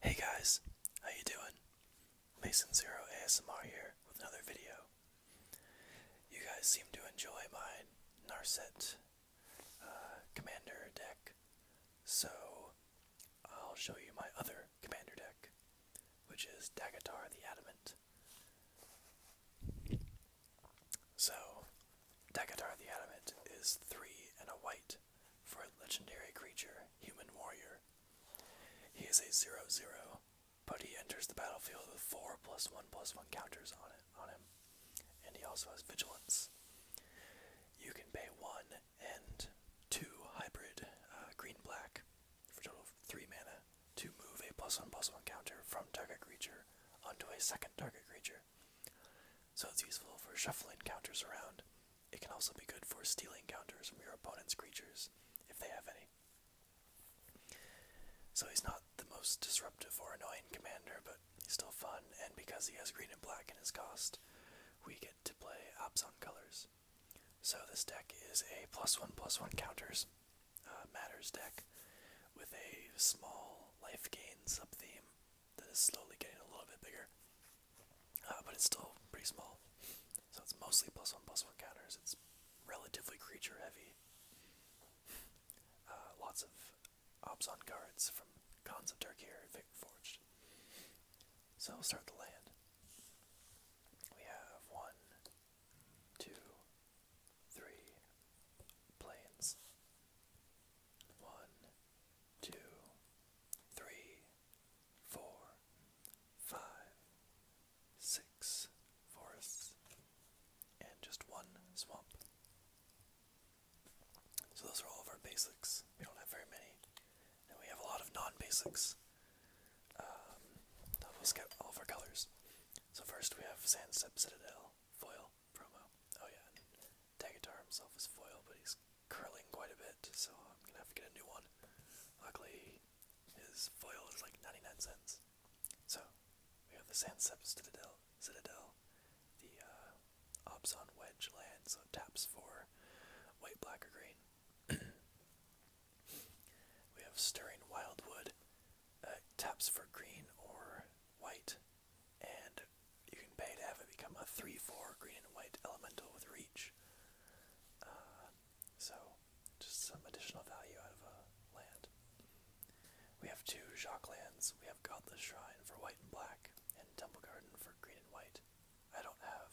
Hey guys, how you doing? Mason Zero ASMR here with another video. You guys seem to enjoy my Narset uh, Commander deck, so I'll show you my other Commander deck, which is Dagatar the Adamant. So, Dagatar the Adamant is three and a white for a legendary creature, Human Warrior. He is a 0 0, but he enters the battlefield with 4 plus 1 plus 1 counters on, on him, and he also has Vigilance. You can pay 1 and 2 hybrid uh, green black for total 3 mana to move a plus 1 plus 1 counter from target creature onto a second target creature. So it's useful for shuffling counters around. It can also be good for stealing counters from your opponent's creatures, if they have any. So he's not the most disruptive or annoying commander, but he's still fun, and because he has green and black in his cost, we get to play ops on colors. So this deck is a plus one plus one counters uh, matters deck with a small life gain sub theme that is slowly getting a little bit bigger. Uh, but it's still pretty small. So it's mostly plus one plus one counters. It's relatively creature heavy. Uh, lots of Obson cards from Cons of Turkir Vic Forged. So we'll start the land. We have one, two, three planes. One, two, three, four, five, six forests, and just one swamp. So those are all of our basics. We don't have very many. And we have a lot of non-basics. Um, let's get all of our colors. So first we have Sand Citadel, Foil promo. Oh yeah, and Dagatar himself is foil, but he's curling quite a bit, so I'm gonna have to get a new one. Luckily, his foil is like 99 cents. So, we have the Sanseps Citadel, Citadel the uh, Obson Wedge land, so taps for white, black, or green. we have Stirring Wildwood, uh, taps for green or white, and you can pay to have it become a 3-4 green and white elemental with reach. Uh, so, just some additional value out of a land. We have two shock lands. We have Godless Shrine for white and black, and Temple Garden for green and white. I don't have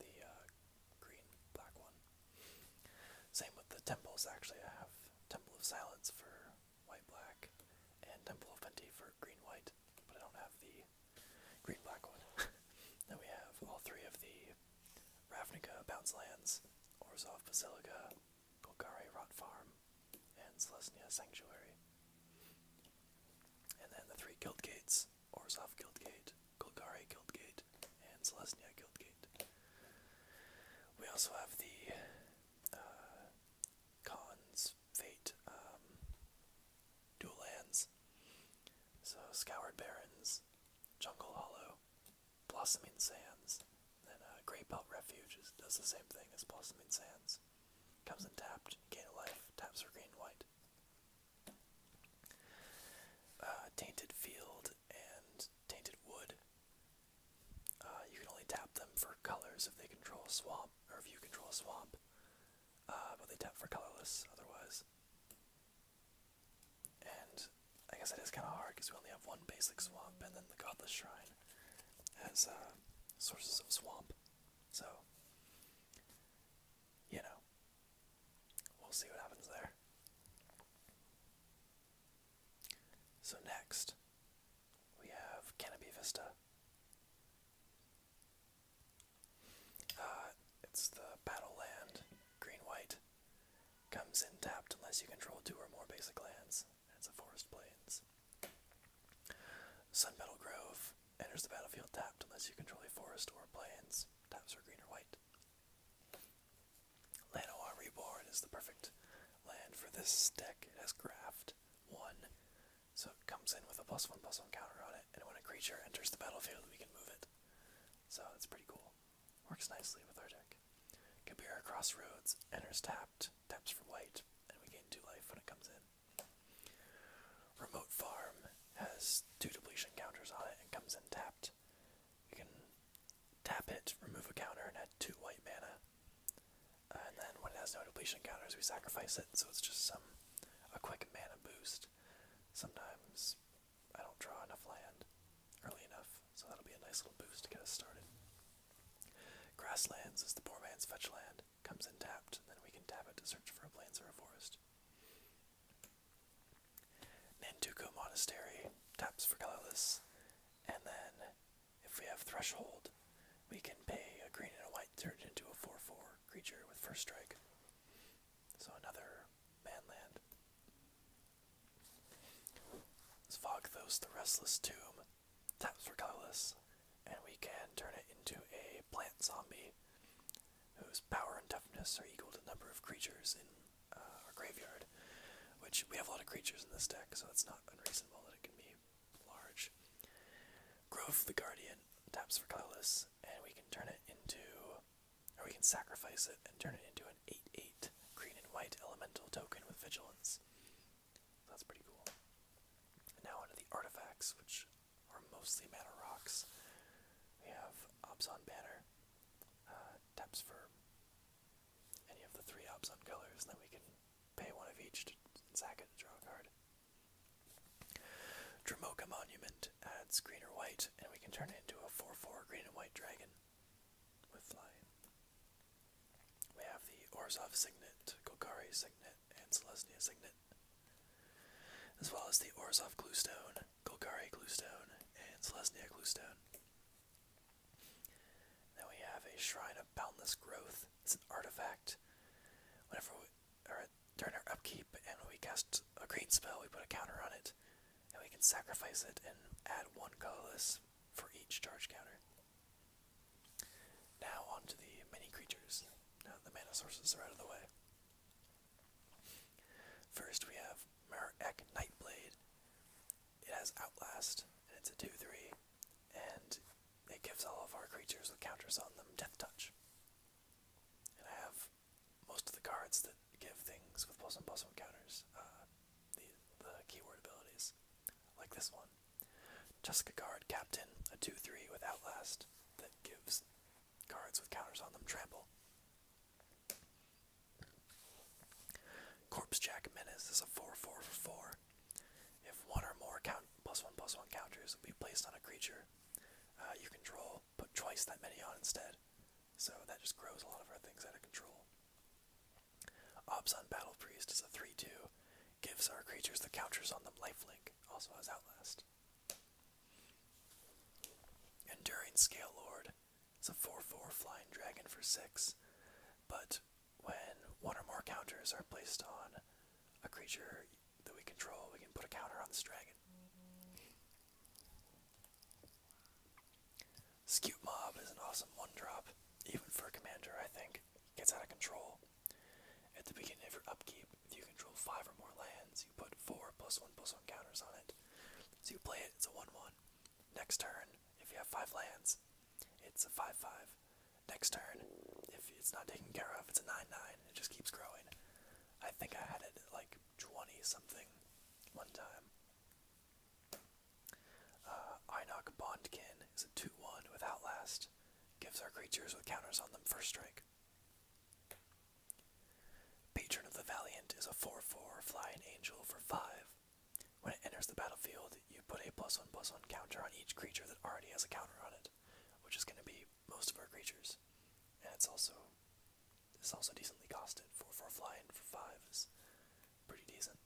the uh, green black one. Same with the temples, actually. I have Temple of Silence for white black, and Temple of Plenty for green white, but I don't have the green black one. then we have all three of the Ravnica Bounce Lands, Orzov Basilica, Golgari Rot Farm, and Selesnya Sanctuary. And then the three guild gates, Orzov Guildgate, Golgari Guildgate, and Selesnya Guildgate. We also have the uh, Khan's Fate um, dual lands. So Scoured Barrens, Jungle Hollow, Blossoming Sands, and then uh, Great Belt Refuge does the same thing as Blossoming Sands. Comes in tapped, gain a life, taps for green white. Uh, tainted Field and Tainted Wood. Uh, you can only tap them for colors if they control Swamp or if you control swamp. Uh, but they tap for colorless otherwise. And I guess it is kind of hard because we only have one basic swamp, and then the Godless Shrine has uh, sources of swamp. So, you know, we'll see what happens there. So, next, we have Canopy Vista. Uh, it's the battle land, green white. Comes in tapped unless you control two or more basic lands. It's a Forest Plains. Sun Metal Grove enters the battlefield tapped unless you control a forest or plains. Taps are green or white. Lanoa Reborn is the perfect land for this deck. It has Graft, 1, so it comes in with a plus one plus one counter on it, and when a creature enters the battlefield, we can move it. So that's pretty cool. Works nicely with our deck. Kabira Crossroads enters tapped, taps for white, and we gain two life when it comes in. Remote Farm has two depletion counters on it and comes in tapped. We can tap it, remove a counter, and add two white mana and then when it has no depletion counters, we sacrifice it, so it's just some a quick mana boost. Sometimes I don't draw enough land early enough, so that'll be a nice little boost to get us started. Grasslands is the poor man's fetch land. Comes in tapped, and then we can tap it to search for a plains or a forest. Nantuko Monastery taps for colorless, and then if we have Threshold, we can pay a green and a white turn it into a 4 4 creature with first strike. So another man land. Svogthos the Restless Tomb taps for colorless, and we can turn it into a plant zombie whose power and toughness are equal to the number of creatures in uh, our graveyard. Which we have a lot of creatures in this deck, so it's not unreasonable that it can be large. Grove the Guardian taps for colorless, and we can turn it into, or we can sacrifice it and turn it into an 8 8 green and white elemental token with vigilance. That's pretty cool. now, onto the artifacts, which are mostly mana rocks. We have Obsidian Banner, uh, taps for any of the three Obson colors, then we can Pay one of each to sack draw a card. Dramoka Monument adds green or white, and we can turn it into a 4-4 green and white dragon with flying. We have the Orzhov Signet, Golgari Signet, and Celestia Signet, as well as the Orzhov Glowstone, Golgari Glowstone, and Celestia Glowstone. Then we have a Shrine of Boundless Growth. It's an artifact. Whenever we or during our upkeep and when we cast a green spell, we put a counter on it. And we can sacrifice it and add one colorless for each charge counter. Now onto the mini creatures. Now the mana sources are out of the way. First we have Marak Knightblade. It has Outlast, and it's a 2-3 and it gives all of our creatures with counters on them death touch. And I have most of the cards that give things with plus and one counters, uh, the, the keyword abilities, like this one. Jessica Guard Captain, a 2 3 with Outlast that gives cards with counters on them trample. Corpse Jack Menace is a 4 4 4 if one or more one plus one counters will be placed on a creature uh, you control, put twice that many on instead. So that just grows a lot of our things out of control. on Battle Priest is a 3-2, gives our creatures the counters on them lifelink, also has Outlast. Enduring Scale Lord is a 4-4 flying dragon for 6, but when one or more counters are placed on a creature that we control, we can put a counter on this dragon. Scoot Mob is an awesome one drop, even for a commander, I think. gets out of control. At the beginning of your upkeep, if you control five or more lands, you put four plus one plus one counters on it. So you play it, it's a 1 1. Next turn, if you have five lands, it's a 5 5 next turn, if it's not taken care of, it's a 9-9. It just keeps growing. I think I had it like 20-something one time. Uh, Inoc Bondkin is a 2-1 without last. Gives our creatures with counters on them first strike. Patron of the Valiant is a 4-4 flying angel for 5. When it enters the battlefield, you put a plus one plus one counter on each creature that already has a counter on it, which is going to be most of our creatures. And it's also it's also decently costed for for flying for five is pretty decent.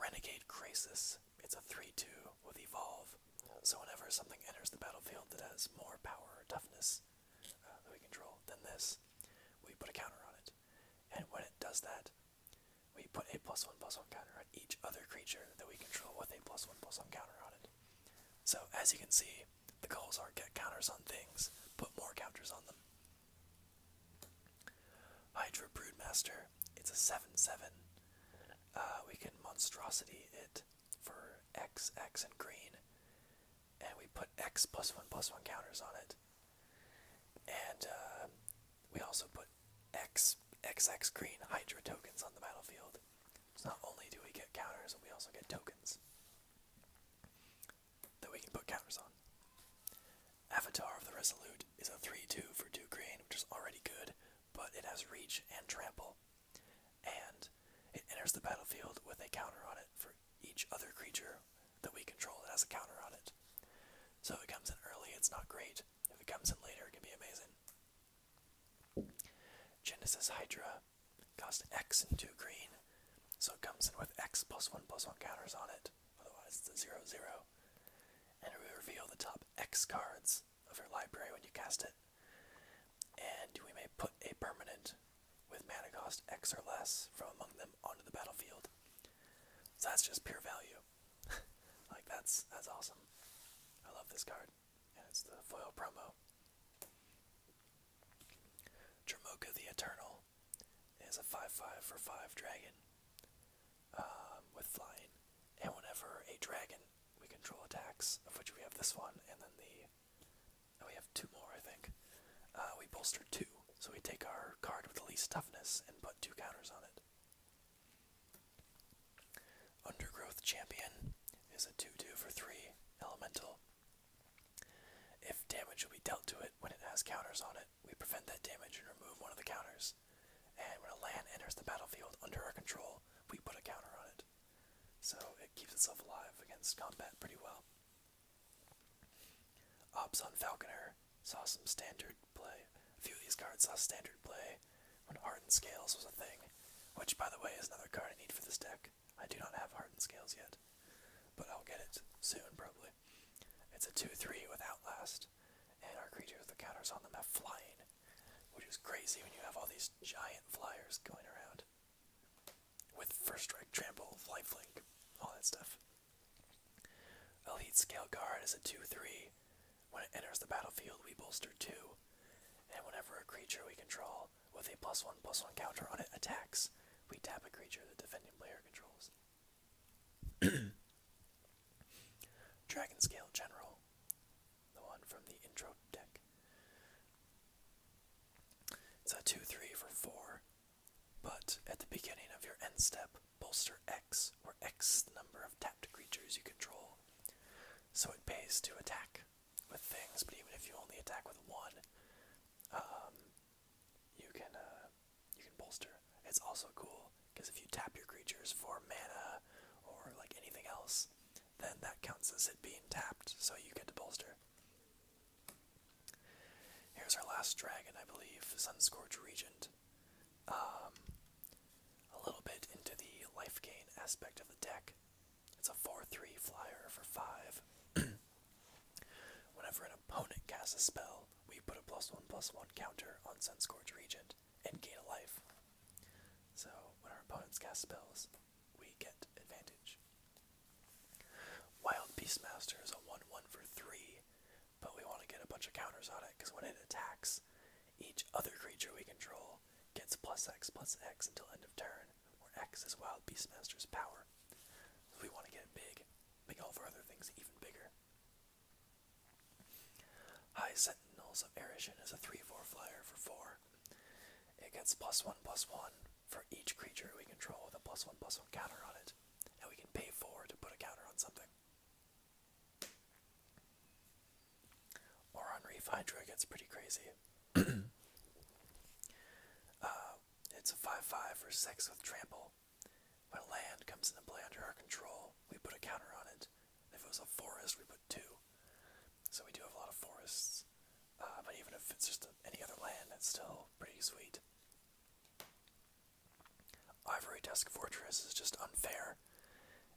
Renegade Crisis. It's a three two with evolve. So whenever something enters the battlefield that has more power or toughness uh, that we control than this, we put a counter on it. And when it does that, we put a plus one plus one counter on each other creature that we control with a plus one plus one counter on it. So as you can see, the goals are get counters on things, put more counters on them. Hydra Broodmaster, it's a 7-7. Uh, we can monstrosity it for X, X, and green. And we put X plus one plus one counters on it. And uh, we also put X X X green Hydra tokens on the battlefield. So not only do we get counters, we also get tokens that we can put counters on. Avatar of the Resolute is a 3-2 for 2 green, which is already good, but it has reach and trample. And it enters the battlefield with a counter on it for each other creature that we control that has a counter on it. So it comes in early, it's not great. If it comes in later, it can be amazing. Genesis Hydra cost X and two green, so it comes in with X plus one plus one counters on it. Otherwise, it's a zero zero. And we reveal the top X cards of your library when you cast it. And we may put a permanent with mana cost X or less from among them onto the battlefield. So that's just pure value. like that's that's awesome. I love this card. And it's the foil promo. Dramoka the Eternal is a 5-5 for 5 dragon um, with flying. And whenever a dragon we control attacks, of which we have this one, and then the. we have two more, I think. Uh, we bolstered two. So we take our card with the least toughness and put two counters on it. Undergrowth Champion is a 2 2 for 3 elemental. If damage will be dealt to it when it has counters on it, we prevent that damage and remove one of the counters. And when a land enters the battlefield under our control, we put a counter on it. So it keeps itself alive against combat pretty well. Ops on Falconer saw some standard play. A few of these cards saw standard play when Art and Scales was a thing, which, by the way, is another card I need for this deck. I do not have Art and Scales yet, but I'll get it soon, probably. It's a 2-3 without last, and our creatures with counters on them have Flying, which is crazy when you have all these giant flyers going around with First Strike, Trample, life link, all that stuff. Elite Scale Guard is a 2-3. When it enters the battlefield, we bolster 2. And whenever a creature we control with a plus 1 plus 1 counter on it attacks, we tap a creature the defending player controls. Dragon Scale General, the one from the intro deck. It's a 2 3 for 4. But at the beginning of your end step, bolster X or X number of tapped creatures you control. So it pays to attack with things, but even if you only attack with one, um, you can uh, you can bolster. It's also cool because if you tap your creatures for mana or like anything else, then that counts as it being tapped, so you get to bolster. Here's our last dragon, I believe, Sunscorch Regent. Um, a little bit into the life gain aspect of the deck. It's a 4 3 flyer for 5. Whenever an opponent casts a spell, we put a plus 1 plus 1 counter on Sunscorch Regent and gain a life. So when our opponents cast spells, we get advantage. Wild Beastmaster is a 1 1 for 3 but we want to get a bunch of counters on it because when it attacks, each other creature we control gets plus X plus X until end of turn, where X is Wild Beastmaster's power. So we want to get big, make all of our other things even bigger. High Sentinels of Erishin is a 3 4 flyer for 4. It gets plus 1 plus 1 for each creature we control with a plus 1 plus 1 counter on it and we can pay four to put a counter on something. Or on Reef Hydra gets pretty crazy. Uh, it's a 5-5 for 6 with trample. When land comes into play under our control, we put a counter on it. if it was a forest, we put 2. So we do have a lot of forests. Uh, but even if it's just any other land, it's still pretty sweet. Ivory Tusk Fortress is just unfair.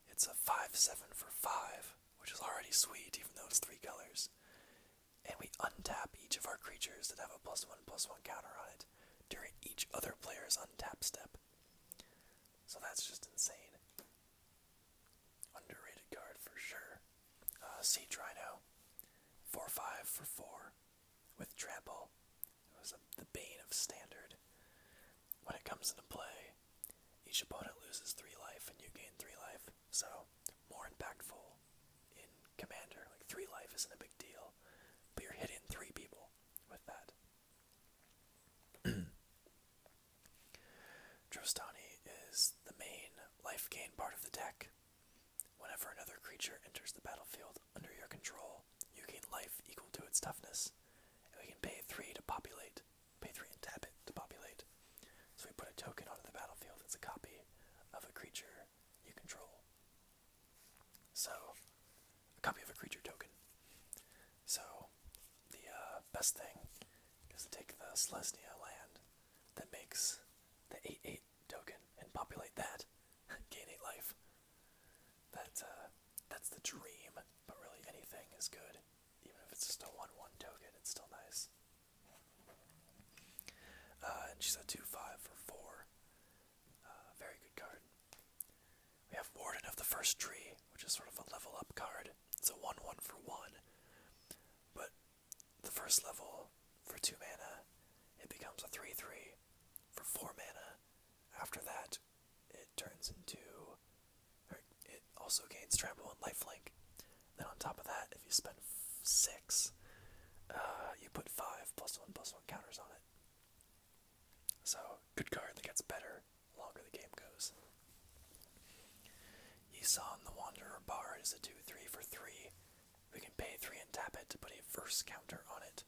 It's a 5 7 for 5, which is already sweet, even though it's three colors. And we untap each of our creatures that have a plus 1 plus 1 counter on it during each other player's untap step. So that's just insane. Underrated card for sure. Uh, Rhino. 4 with trample. It was the bane of standard. When it comes into play, each opponent loses three life and you gain three life. So more impactful in commander. Like three life isn't a big deal, but you're hitting three people with that. Drostani is the main life gain part of the deck. Whenever another creature enters the battlefield under your control, you gain life equal to its toughness. we can pay 3 to populate. Pay 3 and tap it to populate. So we put a token onto the battlefield. It's a copy of a creature you control. So, a copy of a creature token. So, the uh, best thing is to take the Slesnia land that makes the 8 8 token and populate that. Gain a life. That's uh, that's the dream, but really anything is good. Even if it's just a one one token, it's still nice. Uh, and she's a two five for four. Uh, very good card. We have Warden of the First Tree, which is sort of a level up card. It's a one one for one. But the first level for 2 mana, it becomes a 3 3. For 4 mana, after that, it turns into. Or it also gains trample and lifelink. Then on top of that, if you spend 6, uh, you put 5 plus 1 plus 1 counters on it. So, good card that gets better the longer the game goes. Yisan the Wanderer bar is a 2 3 for 3. We can pay three and tap it to put a first counter on it,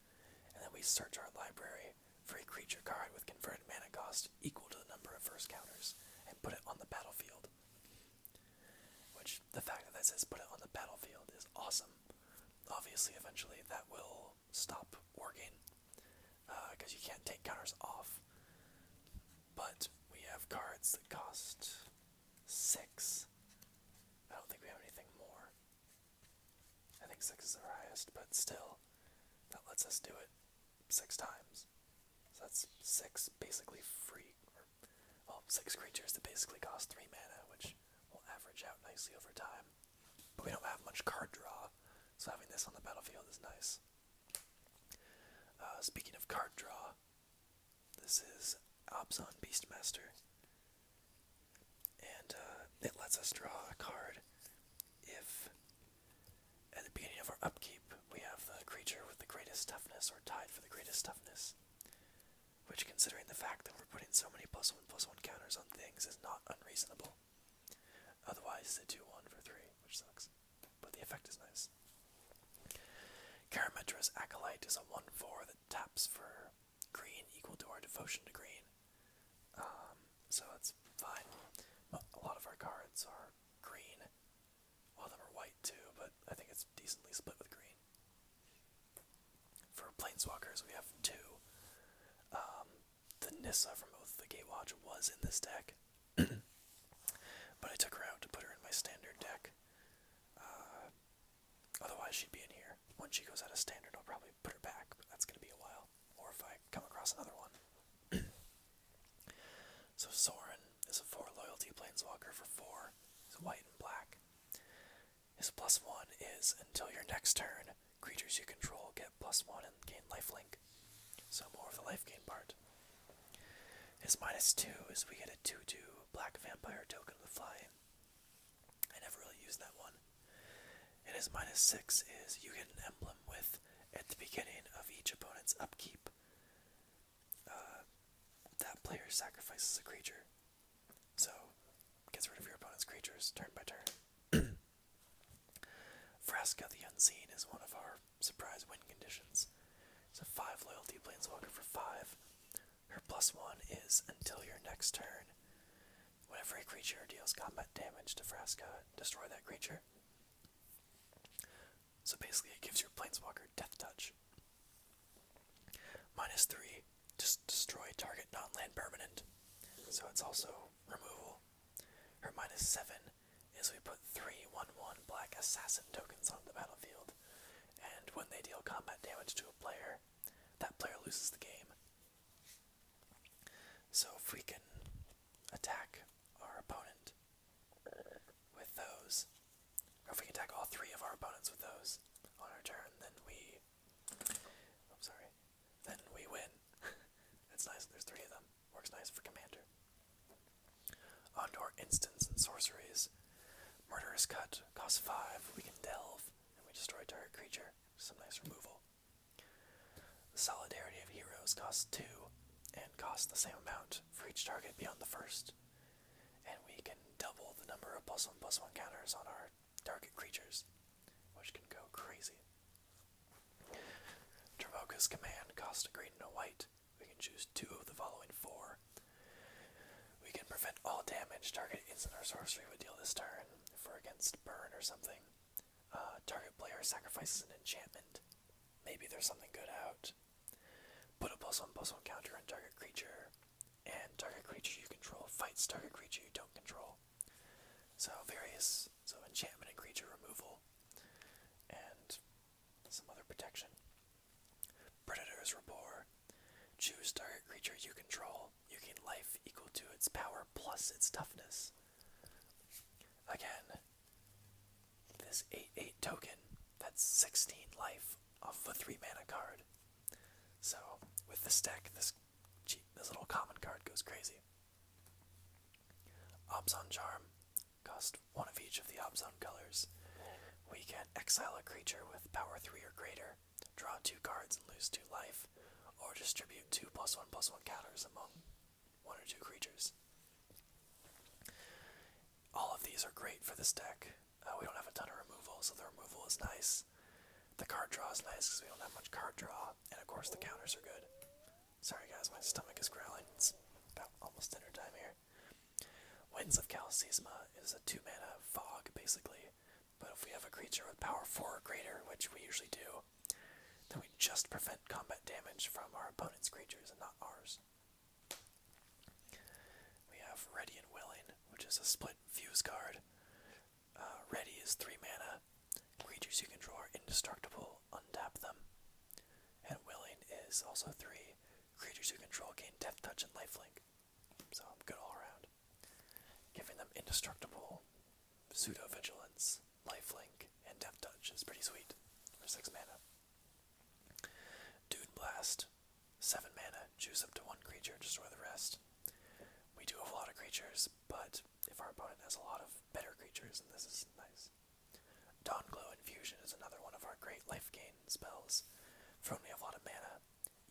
and then we search our library for a creature card with converted mana cost equal to the number of first counters and put it on the battlefield. Which the fact that that says put it on the battlefield is awesome. Obviously, eventually that will stop working because uh, you can't take counters off. But we have cards that cost six. I don't think we have anything more. I think six is the highest, but still, that lets us do it six times. So that's six basically free, or, well, six creatures that basically cost three mana, which will average out nicely over time. But we don't have much card draw, so having this on the battlefield is nice. Uh, speaking of card draw, this is Obzon Beastmaster. And uh, it lets us draw a card if, at the beginning of our upkeep, we have the creature with the greatest toughness or tied for the greatest toughness. Which, considering the fact that we're putting so many plus one plus one counters on things, is not unreasonable. Otherwise, they do one for three, which sucks. But the effect is nice. Karametra's Acolyte is a 1 4 taps for green equal to our devotion to green. Um, so that's fine. A lot of our cards are green. all of them are white too, but I think it's decently split with green. For Planeswalkers, we have two. Um, the Nissa from both the Gatewatch was in this deck, but I took her out to put her in my standard deck. Uh, Otherwise, she'd be in here. Once she goes out of standard, I'll probably put her back, that's going to be a while. Or if I come across another one. so, Soren is a 4 loyalty planeswalker for 4. He's white and black. His plus 1 is until your next turn, creatures you control get plus 1 and gain life link. So, more of the life gain part. Is minus two is we get a 2 2 black vampire token with flying. I never really used that one. And his minus six is you get an emblem with at the beginning of each opponent's upkeep. Uh, that player sacrifices a creature. So gets rid of your opponent's creatures turn by turn. Frasca the Unseen is one of our surprise win conditions. It's a 5 loyalty planeswalker for 5. Her plus one is until your next turn. Whenever a creature deals combat damage to Frasca, destroy that creature. So basically, it gives your planeswalker Death Touch. Minus three, just destroy target non land permanent. So it's also removal. Her minus seven is we put three one one black assassin tokens on the battlefield and when they deal combat damage to a player, that player loses the game. So if we can attack our opponent with those, or if we can attack all three of our opponents with those on our turn, then we. I'm sorry. Then we win. It's nice. There's three of them. Works nice for commander. On our instants and sorceries. murder is Cut costs 5. We can delve, and we destroy target creature. Some nice removal. The Solidarity of Heroes costs 2, and costs the same amount for each target beyond the first. And we can double the number of plus 1 plus 1 encounters on our target creatures, which can go crazy. Travoca's Command costs a green and a white. We can choose two of the following four. We can prevent all damage. Target instant or sorcery would deal this turn. If we're against burn or something, uh, target player sacrifices an enchantment. Maybe there's something good out. Put a plus one plus one counter on target creature, and target creature you control fights target creature you don't control. So various so enchantment and creature removal, and some other protection. Predators Rapport. Choose target creature you control. You gain life equal to its power plus its toughness. Again, this 8 8 token, that's 16 life off of a 3 mana card. So, with the stack, this, this little common card goes crazy. Obson Charm. Cost one of each of the Obzon colors. We can exile a creature with power 3 or greater, draw two cards and lose two life, or distribute two plus one plus one counters among one or two creatures. All of these are great for this deck. Uh, we don't have a ton of removal, so the removal is nice. The card draw is nice because we don't have much card draw, and of course the counters are good. Sorry guys, my stomach is growling. It's about almost dinner time here. Winds of Calcisma is a two mana fog, basically, but if we have a creature with power 4 or greater, which we usually do, then we just prevent combat damage from our opponent's creatures and not ours. We have Ready and Willing, which is a split fuse card. Uh, ready is 3 mana. Creatures you control are indestructible, untap them. And Willing is also 3. Creatures you control gain Death Touch and Life Link, So I'm good all around. Giving them indestructible pseudo vigilance, Life Link, and death touch is pretty sweet for six mana. Dude Blast, seven mana, choose up to one creature, destroy the rest. We do have a lot of creatures, but if our opponent has a lot of better creatures, and this is nice. Dawn Glow Infusion is another one of our great life gain spells. For only a lot of mana,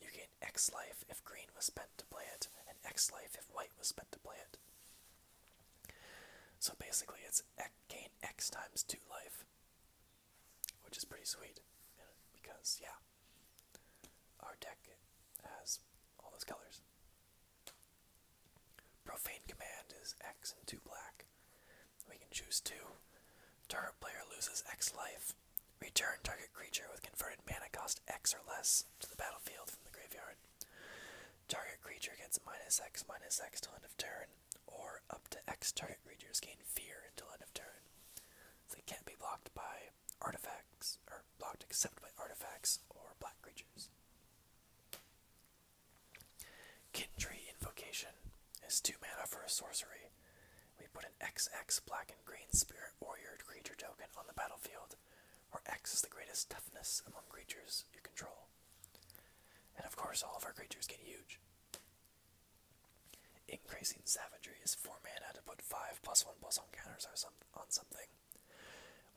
you gain X life if green was spent to play it, and X life if white was spent to play it. So basically, it's gain X times 2 life, which is pretty sweet, because, yeah, our deck has all those colors. Profane Command is X and 2 black. We can choose two. Target player loses X life. Return target creature with converted mana cost X or less to the battlefield from the graveyard. Target creature gets minus X minus X to end of turn, or up to X target creatures gain fear until end of turn. they can't be blocked by artifacts, or blocked except by artifacts or black creatures. Kindred Invocation is 2 mana for sorcery. We put an X X black and green spirit warrior creature token on the battlefield, where X is the greatest toughness among creatures you control. And of course, all of our creatures get huge. Increasing Savagery is 4 mana to put 5 plus 1 plus on counters or on something.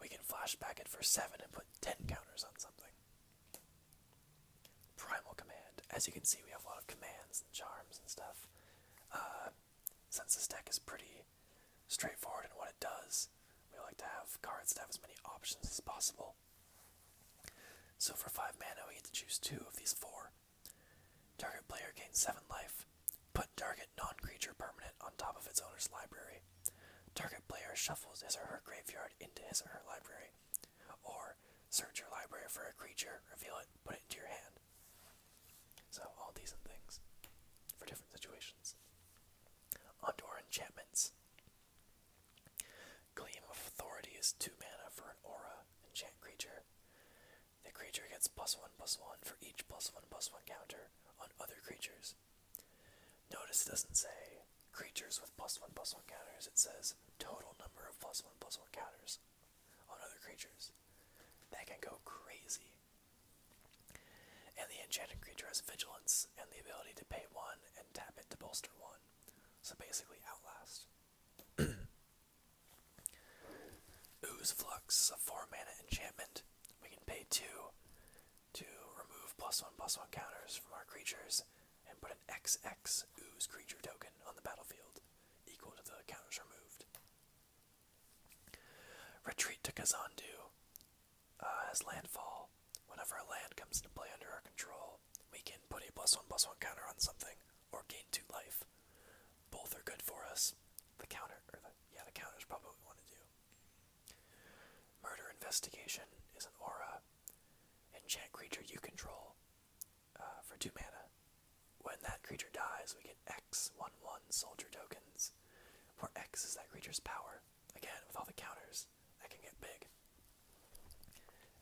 We can flashback it for 7 and put 10 counters on something. Primal Command. As you can see, we have a lot of commands and charms and stuff. since uh, this deck is pretty straightforward in what it does, we like to have cards that have as many options as possible. So for 5 mana, we get to choose 2 of these 4. Target player gains 7 life. Put target non creature permanent on top of its owner's library. Target player shuffles his or her graveyard into his or her library. Or search your library for a creature, reveal it, put it into your hand. So, all decent things for different situations. Onto our enchantments. Gleam of Authority is 2 mana for an aura enchant creature. The creature gets plus 1 plus 1 for each plus 1 plus 1 counter on other creatures. Notice it doesn't say creatures with plus one plus one counters, it says total number of plus one plus one counters on other creatures. That can go crazy. And the enchanted creature has vigilance and the ability to pay one and tap it to bolster one. So basically, Outlast. Ooze Flux, a 4 mana enchantment. We can pay 2 to remove plus 1 plus 1 counters from our creatures and put an X X ooze creature token on the battlefield, equal to the counters removed. Retreat to Kazandu uh, as landfall. Whenever a land comes into play under our control, we can put a plus one plus one counter on something or gain two life. Both are good for us. The counter, or the, yeah, the counters probably want to do. Murder Investigation is an aura Enchant creature you control uh, for 2 mana. When that creature dies, we get X 1 1 soldier tokens, where X is that creature's power. Again, with all the counters, that can get big.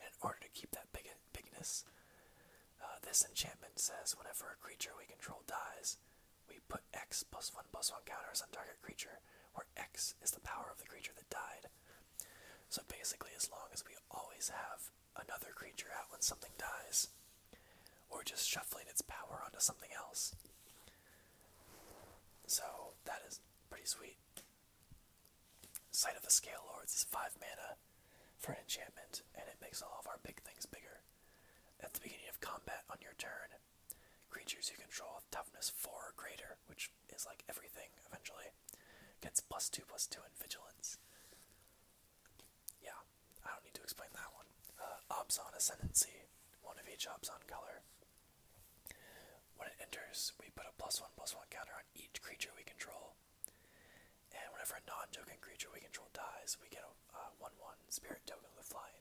in order to keep that big bigness, uh, this enchantment says whenever a creature we control dies, we put X plus 1 plus 1 counters on target creature, where X is the power of the creature that died. So basically, as long as we always have another creature out when something dies, or just shuffling its power onto something else. So that is pretty sweet. Sight of the Scale Lords is 5 mana for an enchantment, and it makes all of our big things bigger. At the beginning of combat on your turn, creatures you control with toughness 4 or greater, which is like everything eventually, gets plus two plus two in vigilance. Yeah, I don't need to explain that one. Uh, Obzon Ascendancy, one of each on color. When it enters, we put a plus one plus one counter on each creature we control. And whenever a non joking creature we control dies, we get a uh, 1 1 spirit token with flying.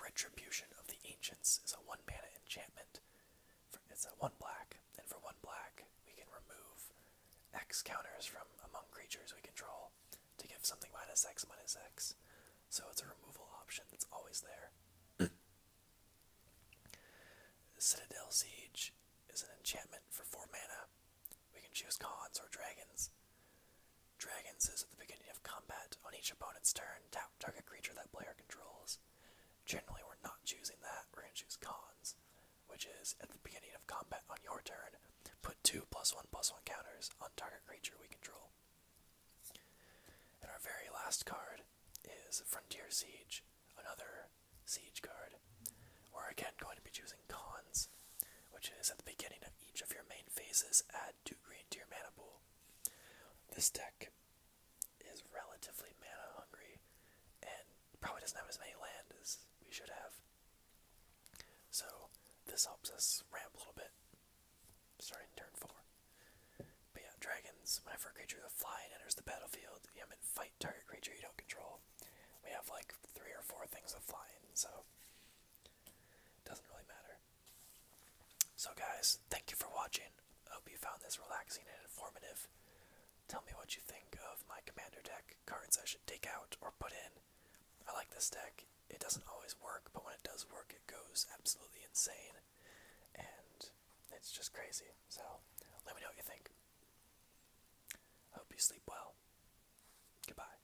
Retribution of the Ancients is a 1 mana enchantment. It's a 1 black, and for 1 black, we can remove X counters from among creatures we control to give something minus X minus X. So it's a removal option that's always there. Citadel Siege is an enchantment for 4 mana. We can choose cons or dragons. Dragons is at the beginning of combat on each opponent's turn target creature that player controls. Generally, we're not choosing that, we're going to choose cons, which is at the beginning of combat on your turn, put two plus one plus one counters on target creature we control. And our very last card is Frontier Siege, another siege card. We're again going to be choosing cons, which is at the beginning of each of your main phases, add two green to mana pool. This deck is relatively mana hungry and probably doesn't have as many land as we should have. So this helps us ramp a little bit. Starting turn four. But yeah, dragons, whenever a creature with a enters the battlefield, you have to fight target creature you don't control. We have like three or four things with flying, so doesn't really matter. So, guys, thank you for watching. I hope you found this relaxing and informative. Tell me what you think of my commander deck, cards I should take out or put in. I like this deck. It doesn't always work, but when it does work, it goes absolutely insane. And it's just crazy. So, let me know what you think. I Hope you sleep well. Goodbye.